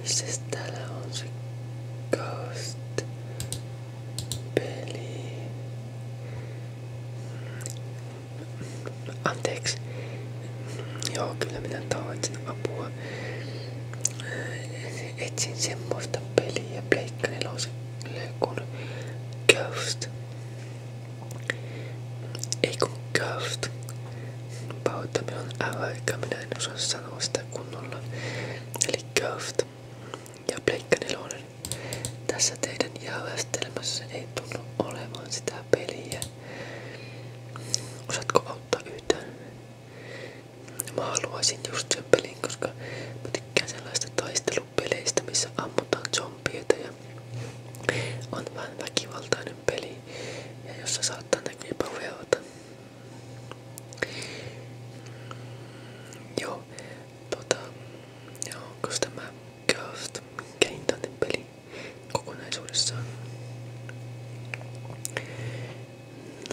Missäs siis täällä on se Ghost peli? Anteeksi. Joo, kyllä minä tarvitsen apua. Äh, etsin semmoista peliä Pleikka neloselle kuin Ghost. Ei kun Ghost. Pahoittami on älä, eikä minä en osaa sanoa sitä kunnolla. Eli Curved ja Pleikka 4. Tässä teidän jäävästelmässä ei tunnu olevan sitä peliä. Osaatko auttaa yhtään? Mä haluaisin just sen pelin, koska mä tykkään sellaista taistelupeleistä, missä ammutaan zombieita ja on vähän väkivaltainen peli niin ja jos se saattaa näkyä paveota. Joo, tota, ja onko tämä Ghost, minkä hintainen peli kokonaisuudessaan?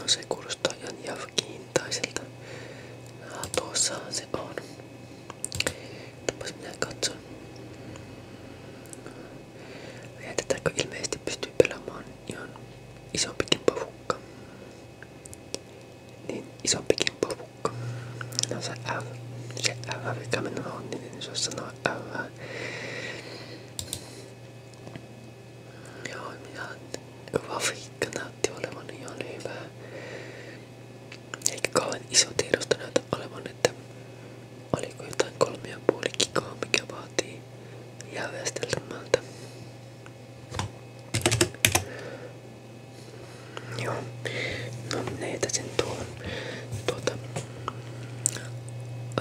No se kuulostaa ihan jafkiintaiselta. Ja tuossahan se on. Tapas minä katson. Tätäkö ilmeisesti pystyy pelaamaan ihan isompikin pavukka. Niin isompikin pavukka. No se F. Se F, mikä minulla on, niin se olisi sanoa F. Joo, minä grafiikka näytti olevan ihan hyvää. Eikä kauhean iso tiedosto näytä olevan, että Oliko jotain kolme ja puoli gigaa, mikä vaatii Joo. No minä jätäsin tuon tuota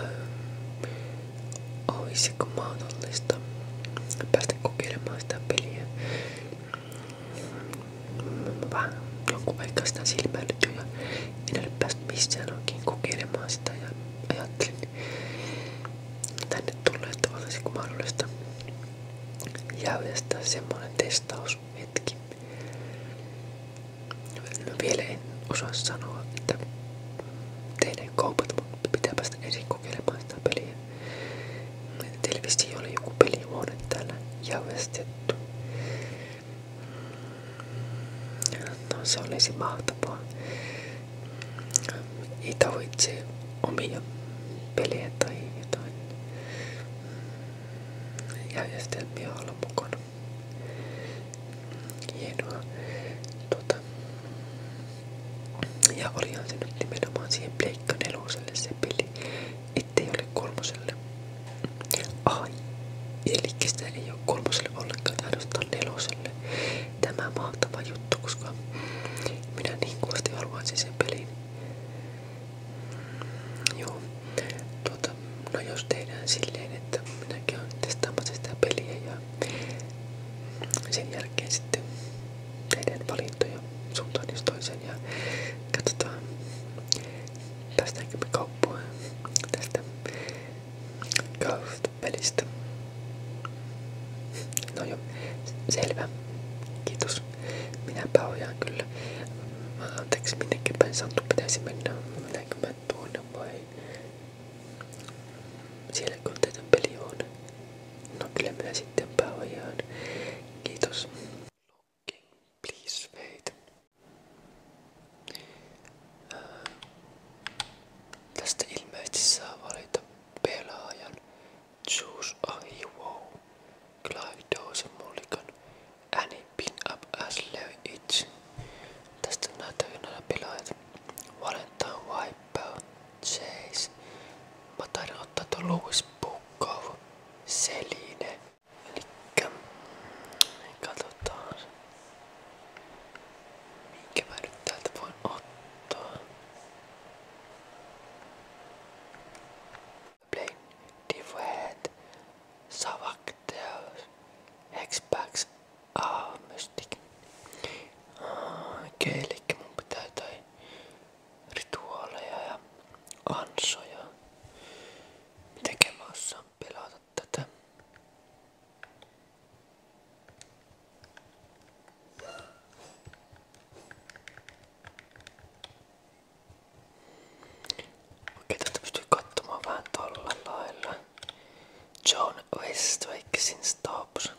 öö, olisiko mahdollista päästä kokeilemaan peliä. Mä vähän jonkun aikaa en ole päässyt missään oikein kokeilemaan sitä ja ajattelin tänne tulla, että olisiko mahdollista järjestää semmoinen testaushetki. No vielä en osaa sanoa, että tehdään kaupat, mutta pitää päästä ensin kokeilemaan sitä peliä. Televisio oli joku pelihuone täällä järjestetty. No se olisi mahtavaa. Ei tarvitse omia pelejä tai jotain järjestelmiä olla mukana. Hienoa. Tuota. Ja olihan se nyt nimenomaan siihen Pleikka neloselle se peli, ettei ole kolmoselle. Ai, eli sitä ei ole kolmoselle ollenkaan, ainoastaan neloselle. Tämä on mahtava juttu, koska minä niin kovasti haluaisin sen pelin. Joo, tuota, no jos tehdään silleen, että minä käyn testaamassa sitä peliä ja sen jälkeen sitten tehdään valintoja suuntaan jos toiseen ja katsotaan Tästäkin me kauppoja. Tästä Ghost-pelistä. No joo, selvä. Kiitos. Minäpä ojaan kyllä. Anteeksi, minnekin päin Santtu pitäisi mennä. Mennäänkö mä tuonne vai... Sielläkö teidän peli on? No kyllä minä sitten pääojaan. Kiitos. Locking, please wait. Tästä ilmeisesti saa pelaajan Choose a Hero, Clive Dawson Annie Pin Up Tästä näyttää näillä pelaajat. Valentine Wipeout, Chase. Mä taidan ottaa tuon Louis Bukov, Seline, Elikkä katsotaan minkä mä nyt täältä voin ottaa. Play different savakteus Xbox A Mystic. Okei, okay, elikkä mun pitää jotain rituaaleja ja ansoja. Mitenkä mä osaan pelata tätä. Okei, tätä pystyy katsomaan vähän tolla lailla. John Westwakesin Stops.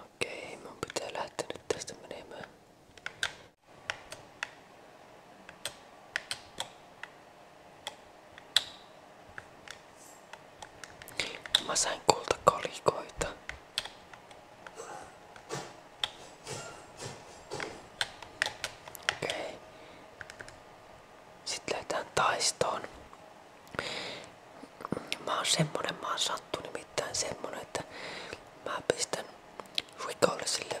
Okei, mun pitää lähteä nyt tästä menemään. Mä sain kultakalikoita. Okei. Okay. Sitten lähdetään taistoon. Mä oon semmonen, mä oon sattu nimittäin semmonen, että mä pistän rikollisille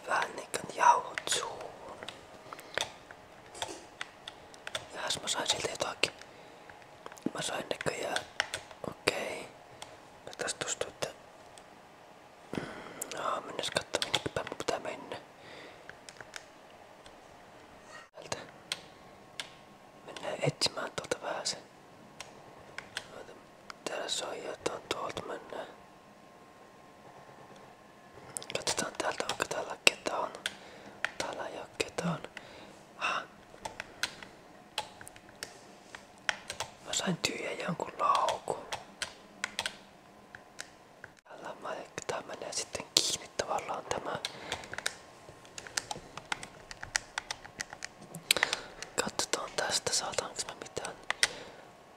Ja mä sain siltä jotakin. Mä sain näköjään. Okei. Okay. Tästä tuntuu, että mm, Aa, mennäs katsomaan, minkä päin mun pitää mennä. Täältä. Mennään etsimään tuolta vähän sen. Täällä soi jotain tuolta mennään. Katsotaan täältä, onko täällä ketään. Täällä ei oo ketään. Ah, Mä sain tyhjän jonkun laukun. Tää sitten kiinni tavallaan tästä saataanko mä mitään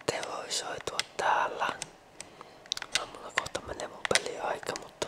tehoisoitua täällä. No, mulla kohta menee mun peliaika, mutta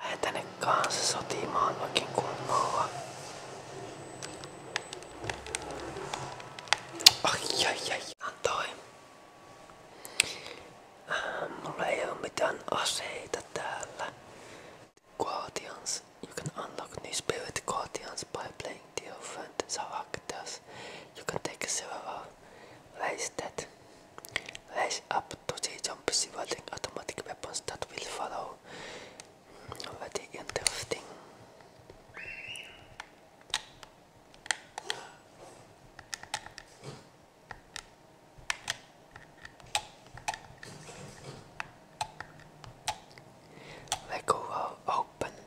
Lähde tänne kanssa sotimaan oikein kunnolla. Ai ai ai, antoi. Äh, mulla ei Guardians. You can unlock new spirit guardians by playing triomfante zal ik You can take several ways that raise up to the jump shielding automatic weapons that will follow. Very interesting. Lego oh, will open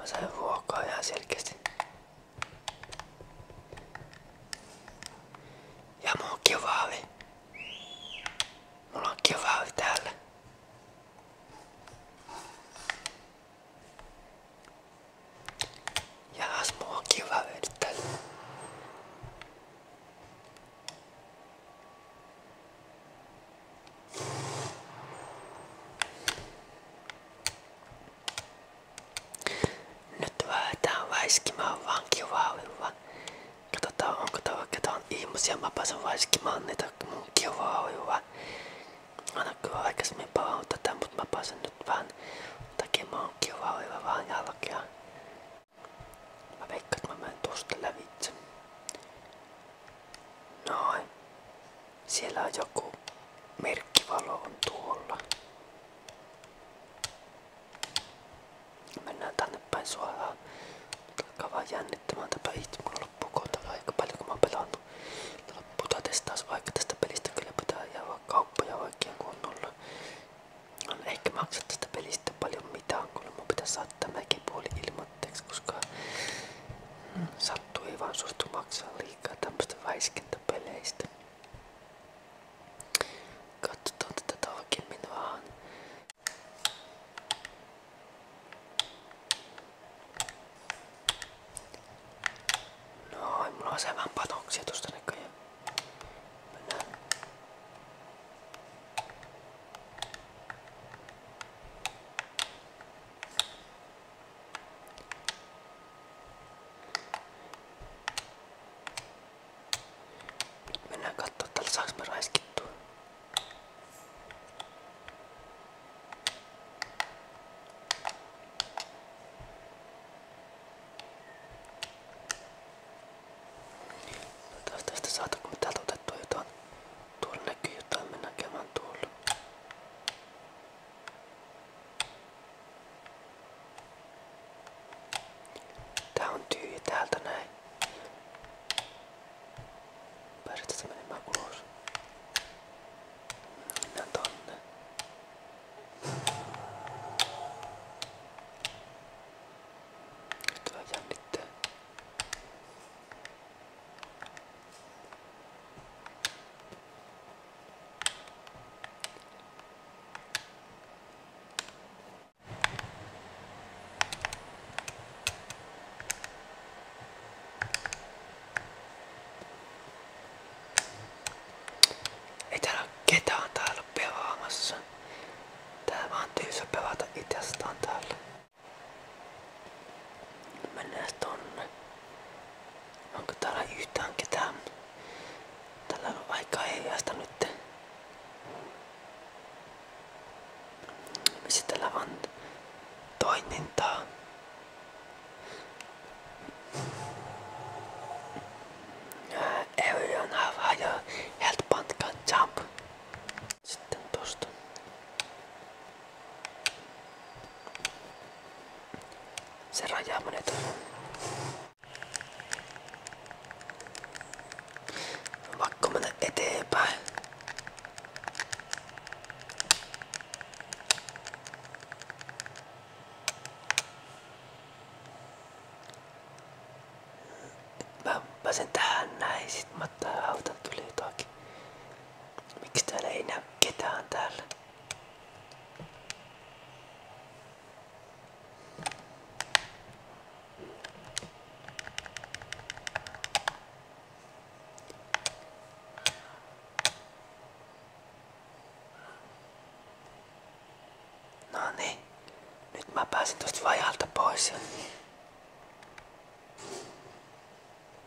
Mä sain ruokaa ihan selkeästi. Ja mun kivaavi. Mulla on kivaavi täällä. Ja taas mulla on kivaavi nyt täällä. Nyt väätään väiskimään vankivauhilla. Katsotaan onko täällä ketään ihmisiä. Mä pääsen väiskimään niitä mun kivauhilla. Aina kyllä aikaisemmin palannut tätä, mutta mä pääsen nyt vähän tekemään kivauhilla vähän jälkeä. Mä veikkaan, että mä menen tuosta lävitse. Noin. Siellä on joku merkkivalo on tuolla. Mennään tänne päin suoraan. Alkaa vaan jännittämään tämä itse. Mulla loppuu kohta aika paljon kun mä oon pelannut. Lopputa testaus vaikka tästä pelistä kyllä pitää jäädä kauppoja oikein kunnolla. On no, ehkä maksa tästä pelistä paljon mitään, kun mun pitää saattaa mäkin puoli ilman anteeksi, koska sattuu ei vaan suostu maksaa liikaa tämmöstä väiskintäpeleistä. tätä tarkemmin vähän. No, mulla on vähän panoksia tosta näköjään. Nyt mennään katsoa tällä saaks me raiskittua. Toivottavasti tästä saataanko me täältä otettua jotain Tuolla näkyy jotain, me näkemään tuolla. Tää on tyhjä täältä näin. Pääset tästä menemään ulos. Mennään tonne. Nyt vähän jännittää. Ei täällä ketään täällä pelaamassa. Tää vaan tyysä pelata itsestään täällä. Mennään tonne. Onko täällä yhtään ketään? Tällä on aika heijasta nyt. Missä täällä on toimintaa? Everyone have higher health band can jump. Sitten tosta. Se rajaa monet. On eteenpäin. Mä pääsen tähän näin, sit mä tää autan Miksi täällä ei näy ketään täällä? No niin, nyt mä pääsin tosta vajalta pois.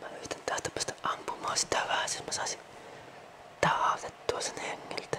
Mä yritän tästä päästä ampumaan sitä vähän, siis mä saisin taautettua sen hengiltä.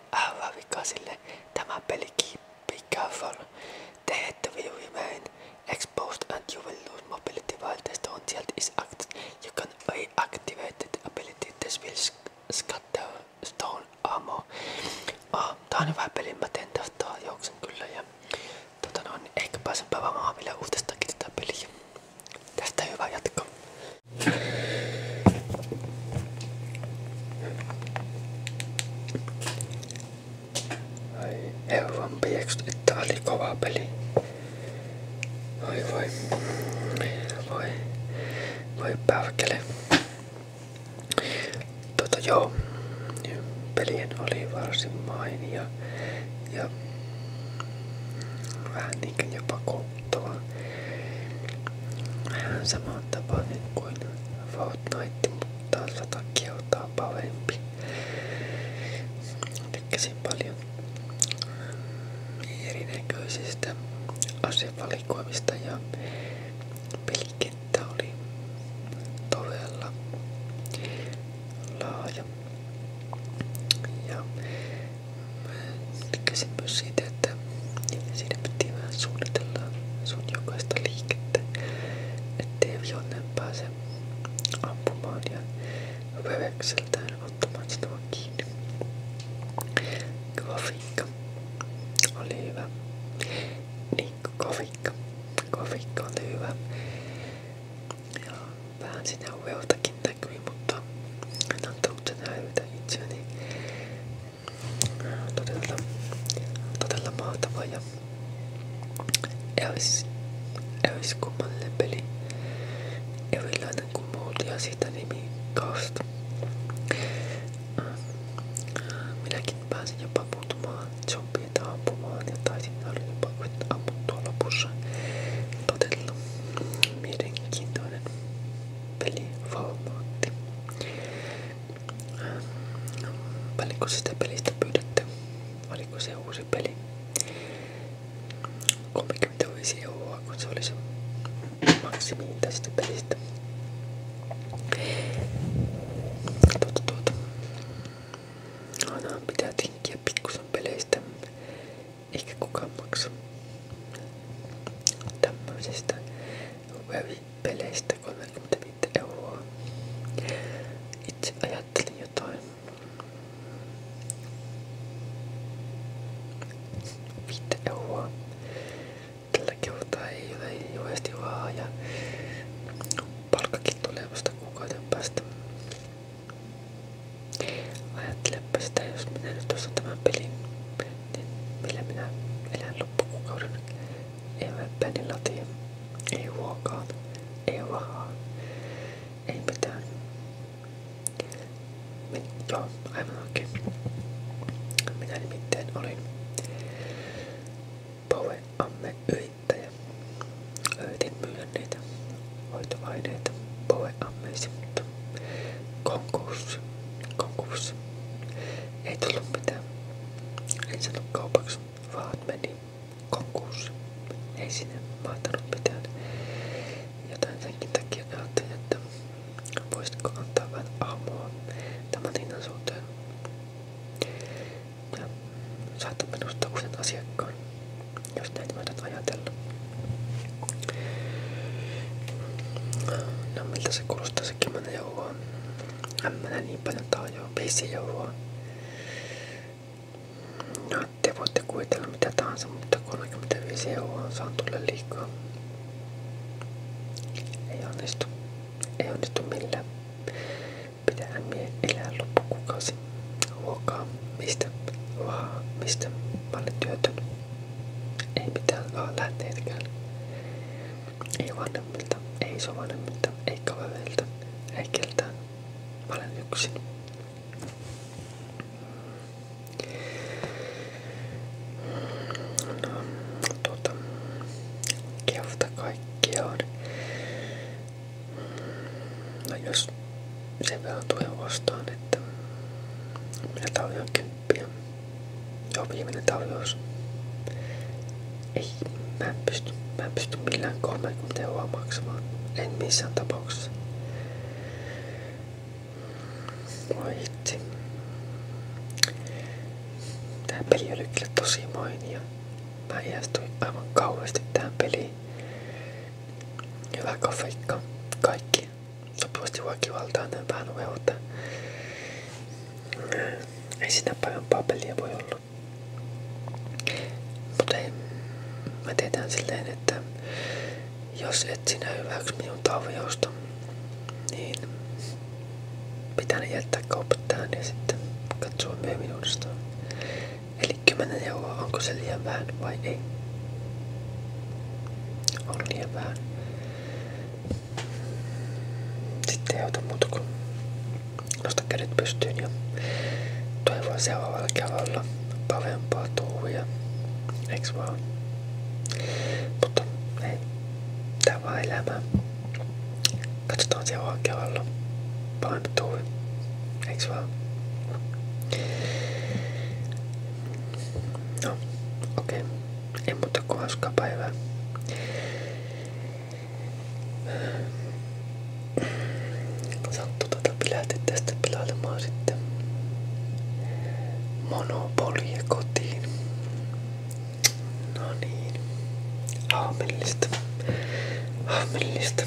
Te AV-vikasille tämä peli keep be careful. They had to remain exposed and you will lose mobility while the stone shield is active. You can reactivate the ability this will scatter stone armor. Oh, tää on hyvä peli, mä teen tästä juoksen kyllä ja tota noin, ehkä pääsen pelaamaan vielä uutestakin tätä peliä. Tästä hyvä jatko. Ai euron piekset, että oli kova peli. Oi voi. Voi. Voi pärkele. Tota joo. Pelien oli varsin mainia. Ja vähän niinkin jopa kova pelattavaa. Vähän samaan tapainen kuin Fortnite, mutta sata kertaa parempi. Tykkäsin paljon erinäköisistä asevalikoimista ja pelikenttä oli todella laaja. Ja Tykkäsin myös siitä, että siinä piti vähän suunnitella sun jokaista liikettä, ettei vihollinen pääse ampumaan ja vävekseltään ottamaan sinua kiinni. Kofikka oli hyvä. Niin, kofikka. Kofikka oli hyvä. Ja vähän sinä uveltakin näkyi, mutta en antanut sen häivytä itseäni todella, todella mahtava ja eris, eriskummallinen peli. Erilainen kuin muut ja siitä nimi Ghost. Minäkin pääsin jopa puuttumaan zombiita ampumaan ja taisin saada jopa ammuttua lopussa. Todella mielenkiintoinen pelivalvontti. Paljonko ähm, sitä pelistä pyydätte? Oliko se uusi peli? 35 euroa, kun se oli se maksimi tästä pelistä. Tuota, tuota. Aina pitää tinkkiä pikkusen peleistä eikä kukaan maksa tämmöisistä peleistä 35 euroa. Itse ajattelin jotain 5 euroa. Tällä kertaa ei ole juuri vahaa ja palkkakin tulee vasta päästä. Ajattelepa sitä, jos minä nyt millä minä elän loppukuukauden. Ei väppäni latia, ei ruokaa, ei rahaa, ei mitään. Min, joo, aivan oikein. Minä nimittäin olin Poweamme yrittäjä. Yritin myydä niitä hoitoaineita Poweammeisiin Konkurssi. Konkurssi. Ei tullut mitään. En sanonut vaan meni konkurssi. Ei sinne mahtanut mitään. Jotain senkin takia ajattelin, että voisitko antaa vähän aamua tämän hinnan suhteen. Ja saat minusta uuden asiakkaan, jos näin voidaan ajatella. No miltä se kuulostaa se kymmenen euroa? En mä niin paljon tarjoa, 5 euroa. No te voitte kuvitella mitä tahansa, mutta 35 euroa saan tulle liikaa. Ei onnistu. Ei onnistu millään. Pitää mie elää loppukuukausi. Ruokaa. Mistä? Vahaa. Mistä? Mä olen työtön. Ei mitään vaan lähteitäkään. Ei vanhemmilta, ei isovanhemmilta, ei kavereilta, ei keltään. olen yksin. No, tuota, kehota No jos se verran tulee vastaan, että minä tarjoankin kymppiä. Joo, viimeinen tarjous. Ei, mä en pysty, mä en pysty millään 30 euroa maksamaan. En missään tapauksessa. Voi hitsi. Tää peli oli kyllä tosi mainia. Mä iästyin aivan kauheasti tähän peliin. Hyvä grafiikka. Kaikki sopivasti väkivaltainen vähän uutta. Ei siinä parempaa peliä voi olla. Mutta ei, mä teetään silleen, että jos et sinä hyväksy minun taviousta, niin pitää ne jättää kaupat tähän ja sitten katsoa myöhemmin uudestaan. Eli kymmenen euroa, onko se liian vähän vai ei? on liian vähän. Sitten ei auta muuta kuin nosta kädet pystyyn ja toivoa seuraavalla kerralla parempaa touhuja. Eiks vaan? Mutta ei, tää on vaan elämää. Katsotaan seuraavalla kerralla parempi touhu. Eiks vaan? No, okei. Okay. Ei muuta kuin hauskaa päivää. Sattu tätä pilähti tästä pilailemaan sitten monopolia kotiin. No niin. Aamellista. Aamellista.